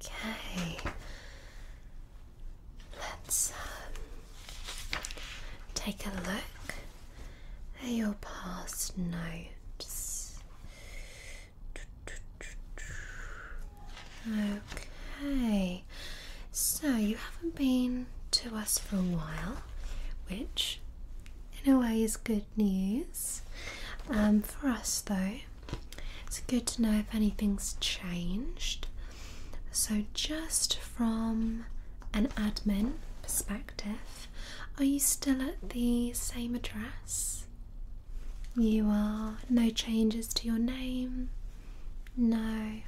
Okay, let's um, take a look at your past notes. Okay, so you haven't been to us for a while, which in a way is good news. Um, for us, though, it's good to know if anything's changed. So, just from an admin perspective, are you still at the same address? You are. No changes to your name? No.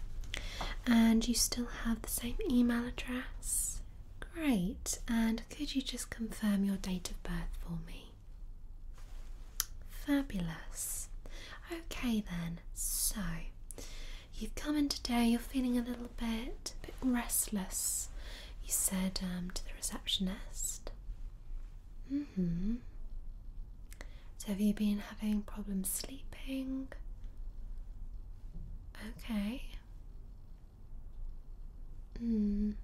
And you still have the same email address? Great. And could you just confirm your date of birth for me? Fabulous. Okay, then, so you've come in today, you're feeling a little bit, a bit restless, you said um, to the receptionist. Mm hmm. So, have you been having problems sleeping? Okay. Mm.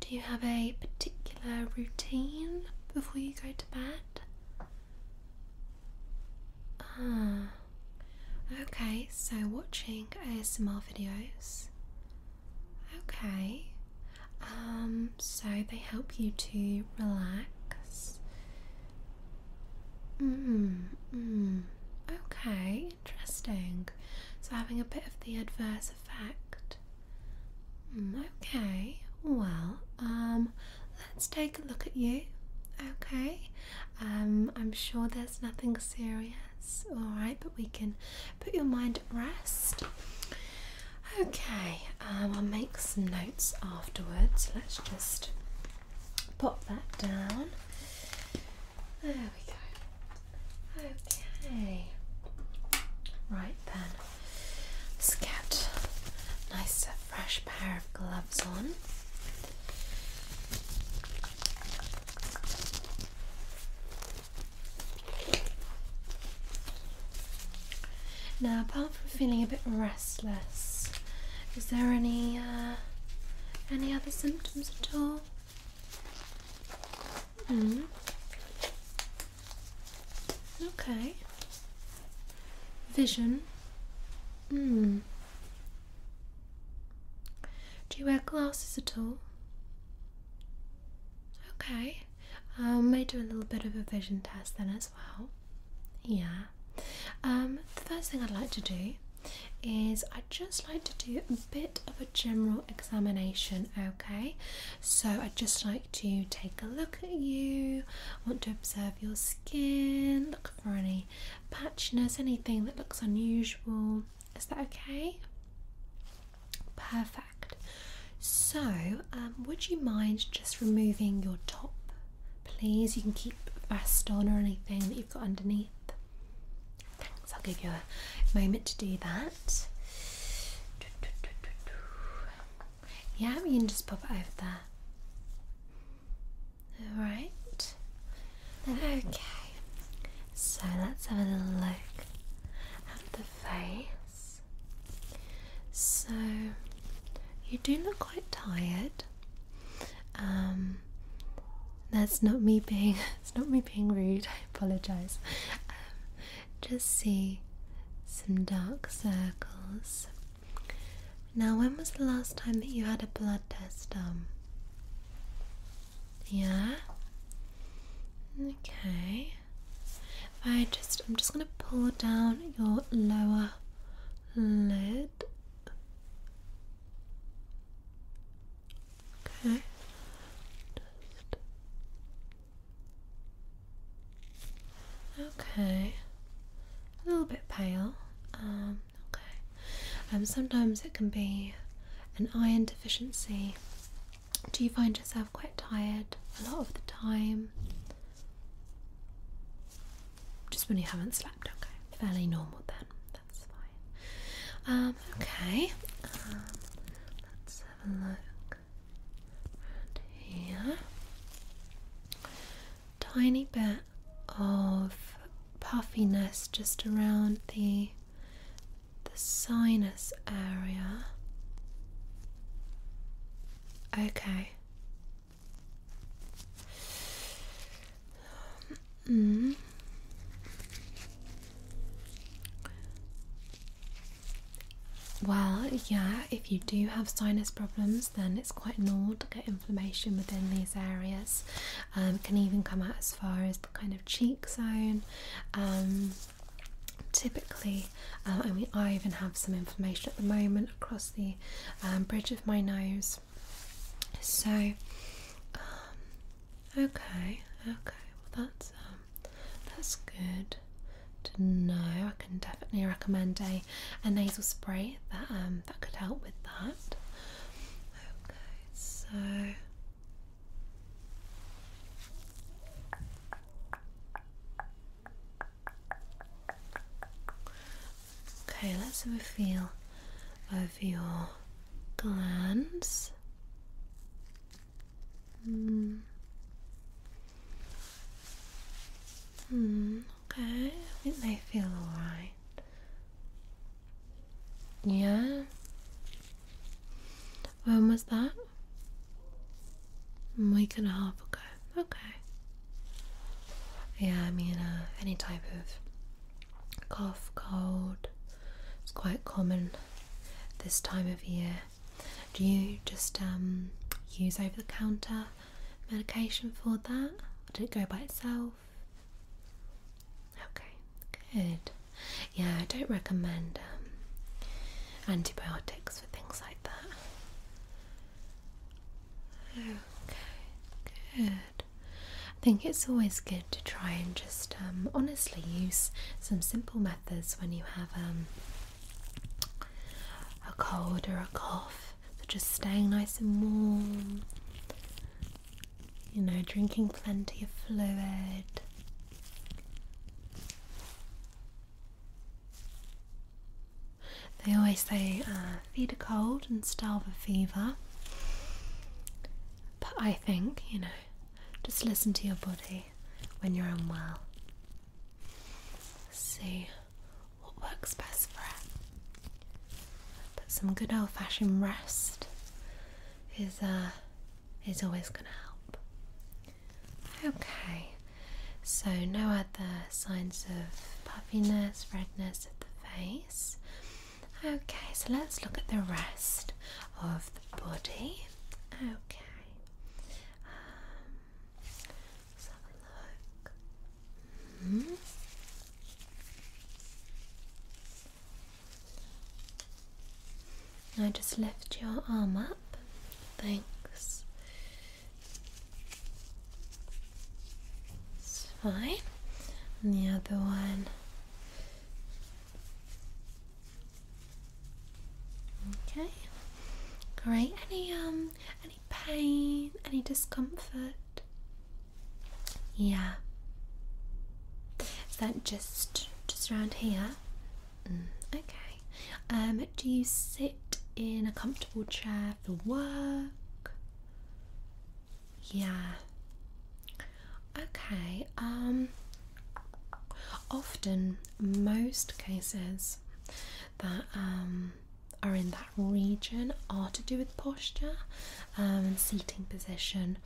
Do you have a particular routine before you go to bed? Ah, okay, so watching ASMR videos. Okay, um, so they help you to relax. Mm, mm, okay, interesting. So, having a bit of the adverse effect. Hmm, okay, well, um, let's take a look at you. Okay, um, I'm sure there's nothing serious, alright, but we can put your mind at rest. Okay, um, I'll make some notes afterwards. Let's just pop that down. There we go. Okay. Right then. Let's get a nice uh, fresh pair of gloves on. Now, apart from feeling a bit restless, is there any uh, any other symptoms at all? Mm. Okay. Vision. Mm. Do you wear glasses at all? Okay. I um, may do a little bit of a vision test then as well. Yeah. Um, the first thing I'd like to do is I'd just like to do a bit of a general examination, okay? So I'd just like to take a look at you, want to observe your skin, look for any patchiness, anything that looks unusual. Is that okay? Perfect. So, um, would you mind just removing your top, please? You can keep vest on or anything that you've got underneath. Thanks, I'll give you a moment to do that. Yeah, you can just pop it over there. Alright. Okay. So let's have a little look at the face. So you do look quite tired. Um, that's not me being. It's not me being rude. I apologize. Um, just see some dark circles. Now, when was the last time that you had a blood test done? Yeah. Okay. I just, I'm just gonna pull down your lower lid. Okay. okay. A little bit pale. Um, okay. Um, sometimes it can be an iron deficiency. Do you find yourself quite tired a lot of the time? Just when you haven't slept, okay. Fairly normal then. Um, okay. Um, let's have a look here. Tiny bit of puffiness just around the the sinus area. Okay. Um, Mm-hmm. Well, yeah, if you do have sinus problems, then it's quite normal to get inflammation within these areas. Um, it can even come out as far as the kind of cheek zone. Um, typically, um, I I even have some inflammation at the moment across the um, bridge of my nose. So, Okay, okay. Well, that's um, that's good to know. I can definitely recommend a, a nasal spray that um that could help with that. Okay, so. Okay, let's have a feel of your glands. Hmm. Hmm. Okay. I think feel alright. Yeah. When was that? A week and a half ago. Okay. Yeah, I mean, uh, any type of cough, cold. It's quite common this time of year. Do you just um, use over the counter medication for that? Or did it go by itself? Okay, good. Yeah, I don't recommend um, antibiotics for things like that. Okay, good. I think it's always good to try and just um, honestly use some simple methods when you have um, a cold or a cough. So just staying nice and warm, you know, drinking plenty of fluid. They always say uh, feed a cold and starve a fever. But I think, you know, just listen to your body when you're unwell. See what works best for it. But some good old fashioned rest is uh, is always gonna help. Okay, so no other signs of puffiness, redness of the face. Okay, so let's look at the rest of the body. Okay, um, have a look. I just lift your arm up. Thanks fine. And the other one. Okay. Great. Any um any pain? Any discomfort? Yeah. Is that just just around here? Mm, okay. Um, do you sit in a comfortable chair for work? Yeah. Okay. Um often most cases that um are in that region are to do with posture um, and seating position.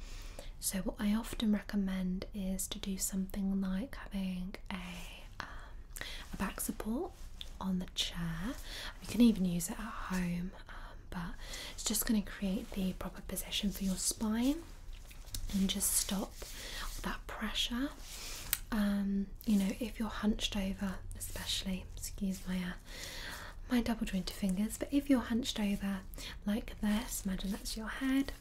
So what I often recommend is to do something like having a um, a back support on the chair you can even use it at home, um, but it's just going to create the proper position for your spine and just stop that pressure. Um, you know, if you're hunched over, especially, excuse my uh, my double jointed fingers, but if you're hunched over like this, imagine that's your head.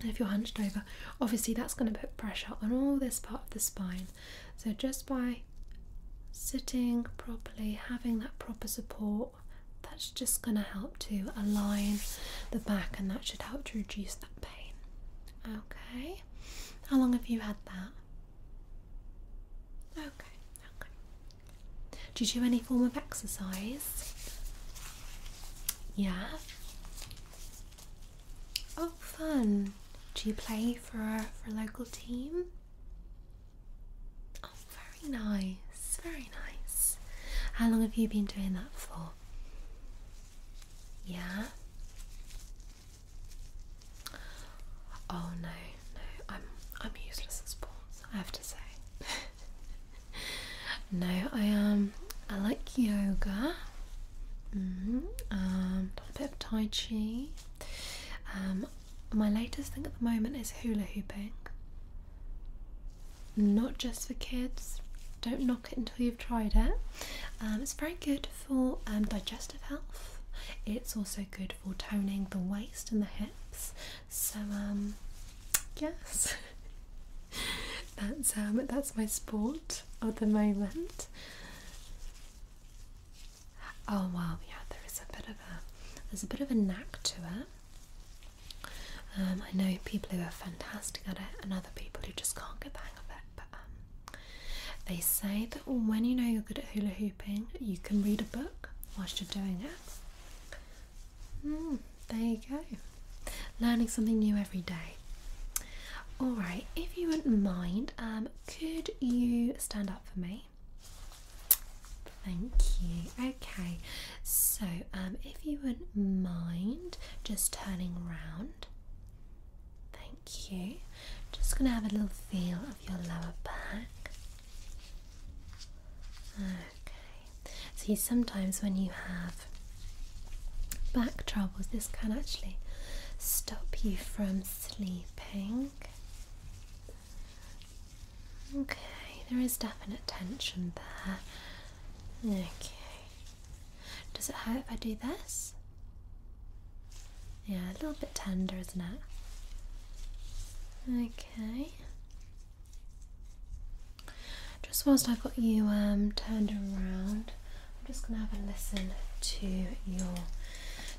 And if you're hunched over, obviously that's going to put pressure on all this part of the spine. So just by Sitting properly, having that proper support, that's just going to help to align the back and that should help to reduce that pain. Okay, how long have you had that? Okay, okay. Do you do any form of exercise? Yeah. Oh, fun. Do you play for, for a local team? Oh, very nice, very nice. How long have you been doing that for? Yeah? Oh no, no, I'm I'm useless at sports, I have to say. no, I um I like yoga. Mm -hmm. Um, a bit of Tai Chi. Um, my latest thing at the moment is hula hooping. Not just for kids, don't knock it until you've tried it. Um, it's very good for um, digestive health, it's also good for toning the waist and the hips. So, um, yes, that's, that's my sport at the moment. Oh wow, yeah, there is a bit of a there's a bit of a knack to it. Um, I know people who are fantastic at it, and other people who just can't get the hang of it. But um, they say that when you know you're good at hula hooping, you can read a book whilst you're doing it. Hmm, there you go. Learning something new every day. Alright, if you wouldn't mind, um, could you stand up for me? Thank you. Okay. So, um, if you wouldn't mind just turning round. Thank you. Just gonna have a little feel of your lower back. Okay. See, sometimes when you have back troubles, this can actually stop you from sleeping. Okay, there is definite tension there. Okay. Does it hurt if I do this? Yeah, a little bit tender, isn't it? Okay. Just whilst I've got you um, turned around, I'm just going to have a listen to your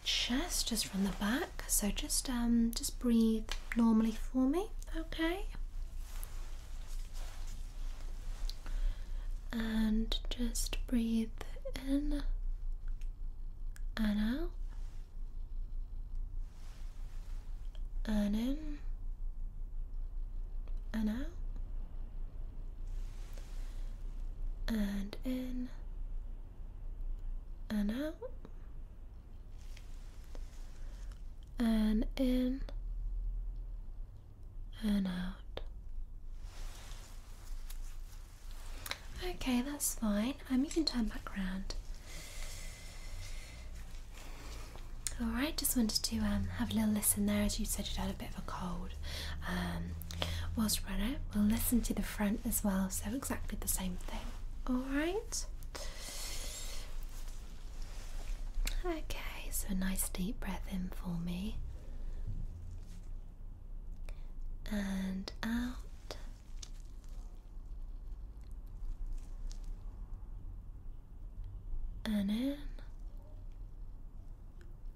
chest just from the back so just um just breathe normally for me okay and just breathe in and out and in and out and in and out and in and out. Okay, that's fine. Um, you can turn back round. Alright, just wanted to um, have a little listen there as you said you'd had a bit of a cold. Um, was we it, we'll listen to the front as well, so exactly the same thing. Alright? Okay, so a nice deep breath in for me. And out. And in.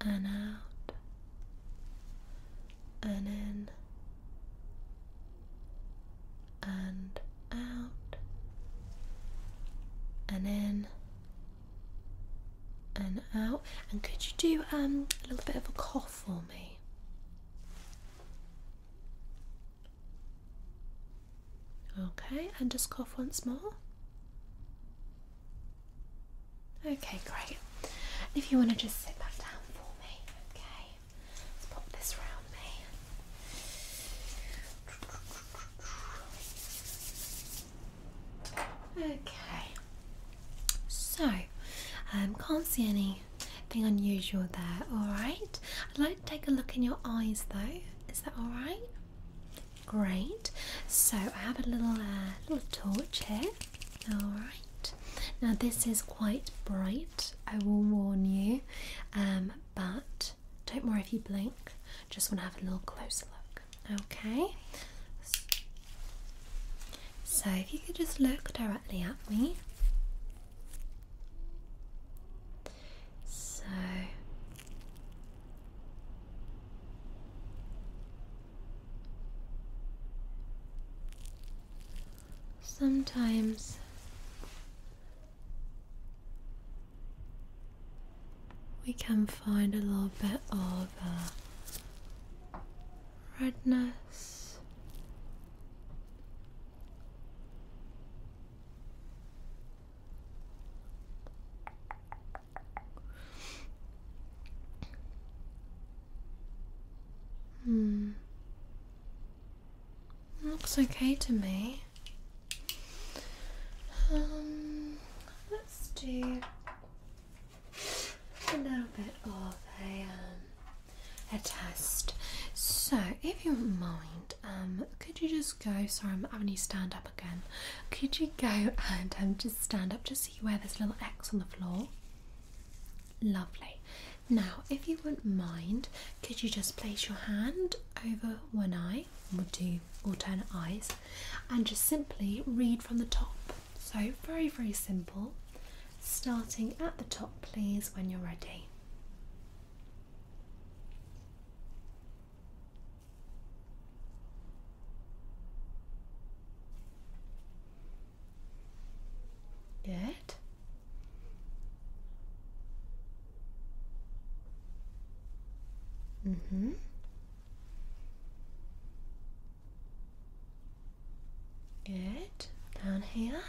And out and in and out and in and out and could you do um, a little bit of a cough for me okay and just cough once more Okay, great. If you want to just sit back down for me, okay? Let's pop this round me. Okay. So, I um, can't see anything unusual there. All right. I'd like to take a look in your eyes, though. Is that all right? Great. So I have a little uh, little torch here. All right. Now, this is quite bright, I will warn you, um, but don't worry if you blink, just want to have a little closer look, okay? So, if you could just look directly at me. So, Sometimes we can find a little bit of uh, redness. Hmm. Looks okay to me. Um, let's do a little bit of a um, a test. So, if you mind, um, could you just go? Sorry, I'm having you stand up again. Could you go and just stand up, just see where there's little X on the floor? Lovely. Now, if you wouldn't mind, could you just place your hand over one eye, or do alternate eyes, and just simply read from the top? So, very, very simple. Starting at the top, please, when you're ready. Good. Mm-hmm. Good. Down here.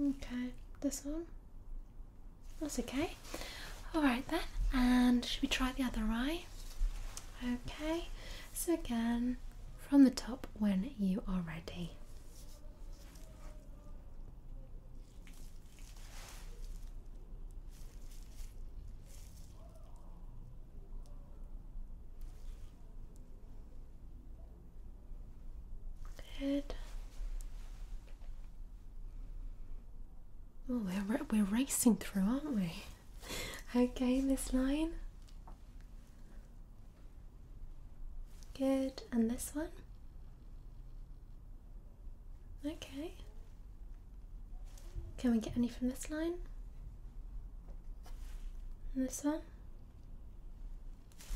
Okay, this one? That's okay. Alright then, and should we try the other eye? Okay, so again, from the top when you are ready. Good. Oh, we're, we're racing through, aren't we? okay, this line. Good, and this one? Okay. Can we get any from this line? this one?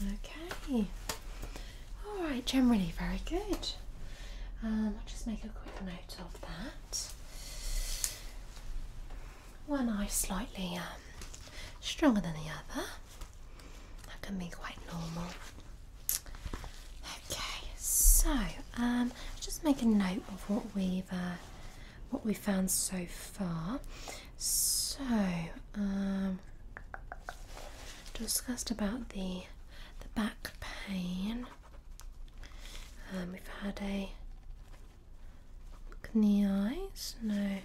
Okay. All right, generally very good. Um, I'll just make a quick note of that. One eye slightly um, stronger than the other. That can be quite normal. Okay, so um, just make a note of what we've uh, what we found so far. So, um, discussed about the the back pain. Um, we've had a look eyes. No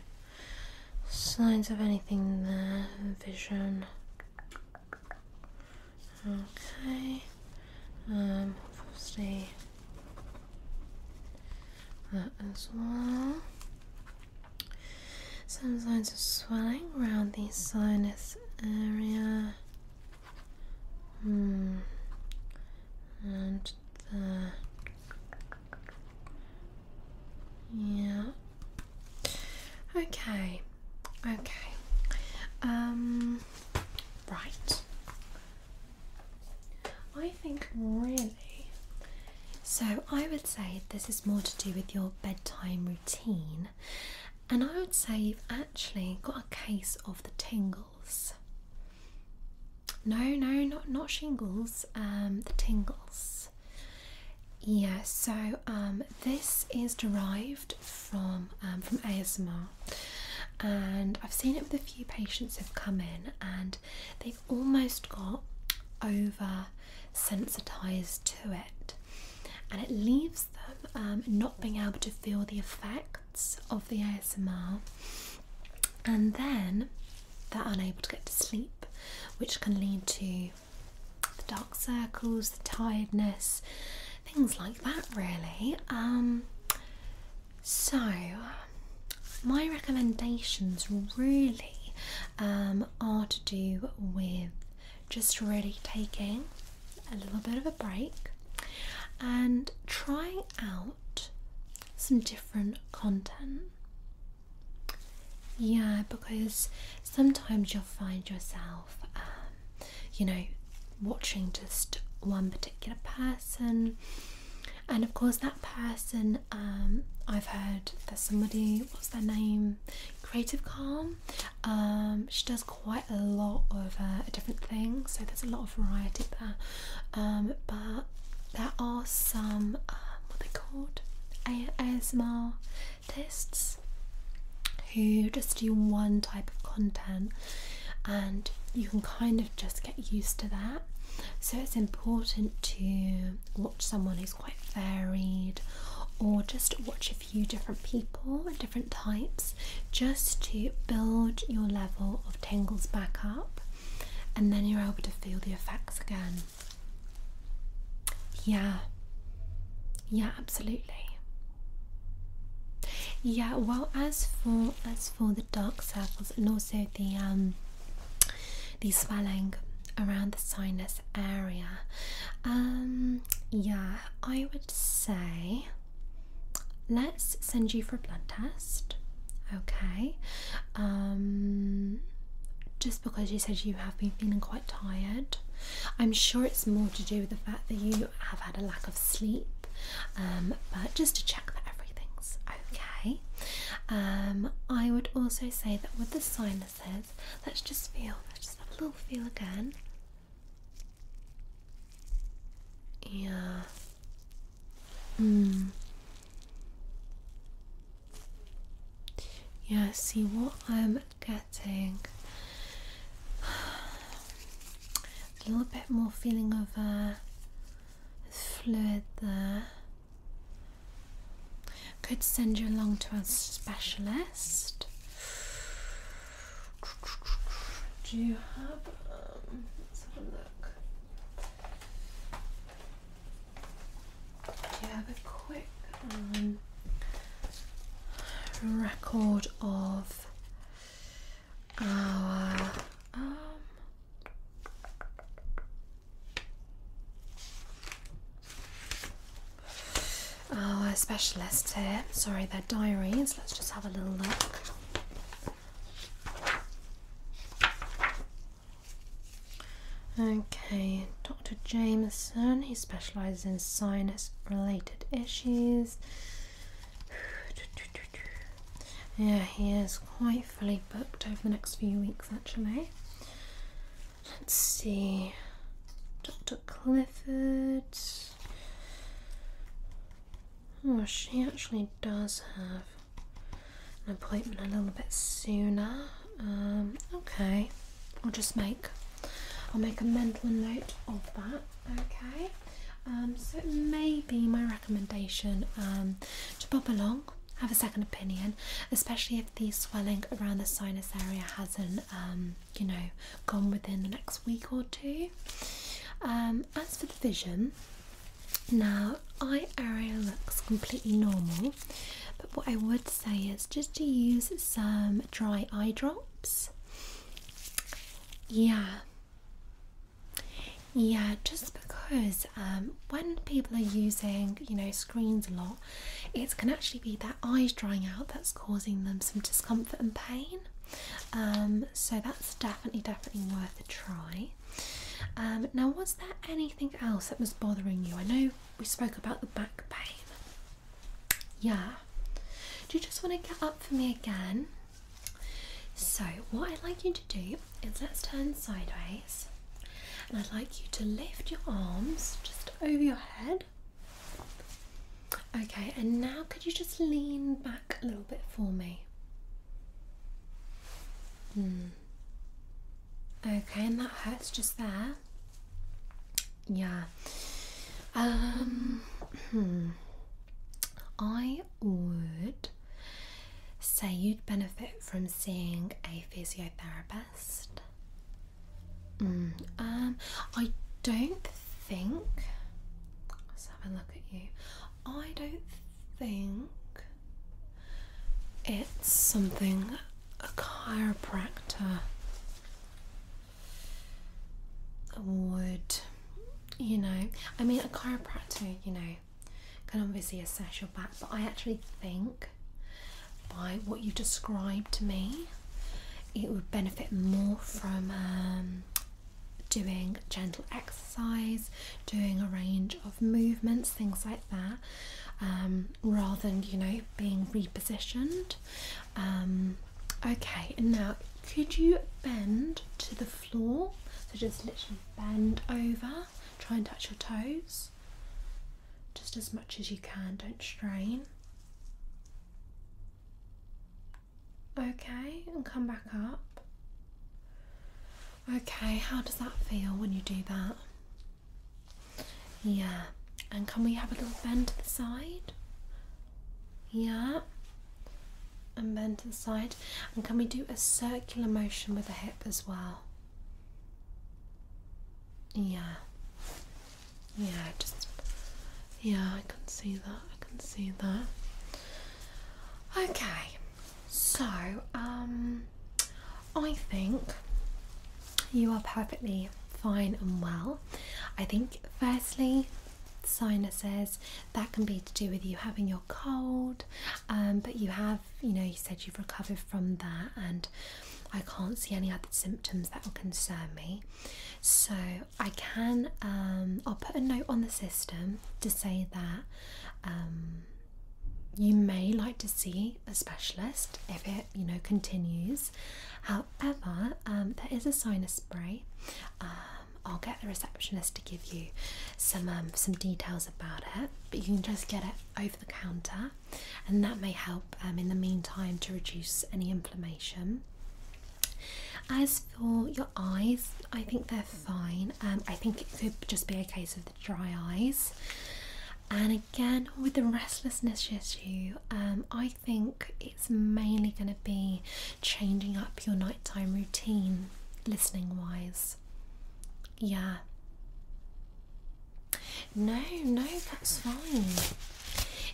signs of anything there. Vision. Okay. Um, obviously. That as well. Some signs of swelling around the sinus area. Hmm. And the Yeah. Okay. Okay. Um. Right. I think really. So I would say this is more to do with your bedtime routine, and I would say you've actually got a case of the tingles. No, no, not not shingles. Um, the tingles. Yeah. So um, this is derived from um, from ASMR, and I've seen it with a few patients who've come in, and they've almost got over sensitized to it, and it leaves them um, not being able to feel the effects of the ASMR, and then they're unable to get to sleep, which can lead to the dark circles, the tiredness, things like that, really. Um, so, my recommendations really um, are to do with just really taking a little bit of a break and trying out some different content. Yeah, because sometimes you'll find yourself, um, you know, watching just one particular person and of course that person um, I've heard there's somebody what's their name creative calm um, she does quite a lot of uh, different things so there's a lot of variety there um, but there are some what they called ASMR tests who just do one type of content and you can kind of just get used to that so it's important to watch someone who's quite varied or just watch a few different people and different types just to build your level of tingles back up and then you're able to feel the effects again. Yeah. Yeah, absolutely. Yeah, well as for as for the dark circles and also the um the swelling around the sinus area. Um yeah, I would say let's send you for a blood test. Okay. Um just because you said you have been feeling quite tired. I'm sure it's more to do with the fact that you have had a lack of sleep, um, but just to check that everything's okay. Um, I would also say that with the sinuses, let's just feel, let's just have a little feel again. Yeah. Mm. Yeah, see what I'm getting a little bit more feeling of a uh, fluid there. Could send you along to a specialist. Do you have? Um, let's have a look. Do you have a quick um, record of our oh, uh, um oh, specialist here. Sorry, they're diaries. Let's just have a little look. Okay, Dr. Jameson, he specializes in sinus related issues. Yeah, he is quite fully booked over the next few weeks actually. Let's see. Dr. Clifford. Oh, she actually does have an appointment a little bit sooner. Um, okay, I'll just make, I'll make a mental note of that. Okay, um, so maybe my recommendation um, to pop along, have a second opinion, especially if the swelling around the sinus area hasn't, um, you know, gone within the next week or two. Um, as for the vision, now eye area looks completely normal, but what I would say is just to use some dry eye drops. Yeah, yeah, just because um, when people are using, you know, screens a lot, it can actually be their eyes drying out that's causing them some discomfort and pain. Um, so that's definitely, definitely worth a try. Um, now, was there anything else that was bothering you? I know we spoke about the back pain. Yeah. Do you just want to get up for me again? So, what I'd like you to do is let's turn sideways, and I'd like you to lift your arms just over your head. Okay, and now could you just lean back a little bit for me? Hmm. Okay, and that hurts just there. Yeah. Um. Hmm. I would say you'd benefit from seeing a physiotherapist. Mm, um, I don't think. Let's have a look at you. I don't think it's something a chiropractor would you know, I mean, a chiropractor, you know, can obviously assess your back, but I actually think by what you described to me, it would benefit more from um, doing gentle exercise, doing a range of movements, things like that, um, rather than you know being repositioned. Um, okay, and now could you bend to the floor? So just literally bend over, try and touch your toes just as much as you can, don't strain. Okay, and come back up. Okay, how does that feel when you do that? Yeah, and can we have a little bend to the side? Yeah. And bend to the side. And can we do a circular motion with the hip as well? Yeah. Yeah, just. Yeah, I can see that. I can see that. Okay. So, um, I think you are perfectly fine and well. I think, firstly, says that can be to do with you having your cold um, but you have you know you said you've recovered from that and I can't see any other symptoms that will concern me so I can um, I'll put a note on the system to say that um, you may like to see a specialist if it you know continues however there is a sinus spray I'll get the receptionist to give you some um, some details about it. But you can just get it over the counter, and that may help um, in the meantime to reduce any inflammation. As for your eyes, I think they're fine. Um, I think it could just be a case of the dry eyes. And again, with the restlessness issue, I think it's mainly going to be changing up your nighttime routine listening wise. Yeah. No, no, that's fine.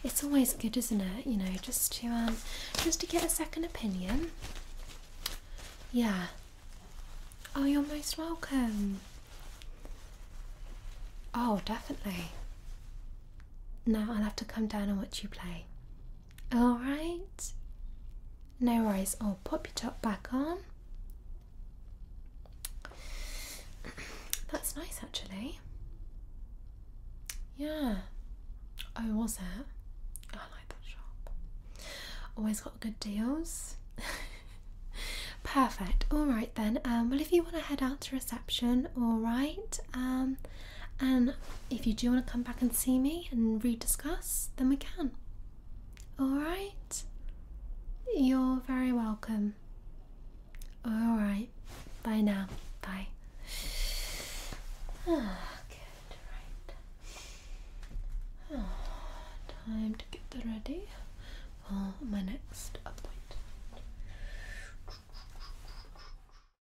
It's always good, isn't it? You know, just to um just to get a second opinion. Yeah. Oh, you're most welcome. Oh, definitely. Now I'll have to come down and watch you play. Alright. No worries. I'll pop your top back on. That's nice actually. Yeah. Oh, was it? I like that shop. Always got good deals. Perfect. Alright then. Um, well, if you want to head out to reception, alright. Um, and if you do want to come back and see me and rediscuss, then we can. Alright? You're very welcome. Alright. Bye now. Bye. Ah, good, right. Ah, time to get ready for my next appointment.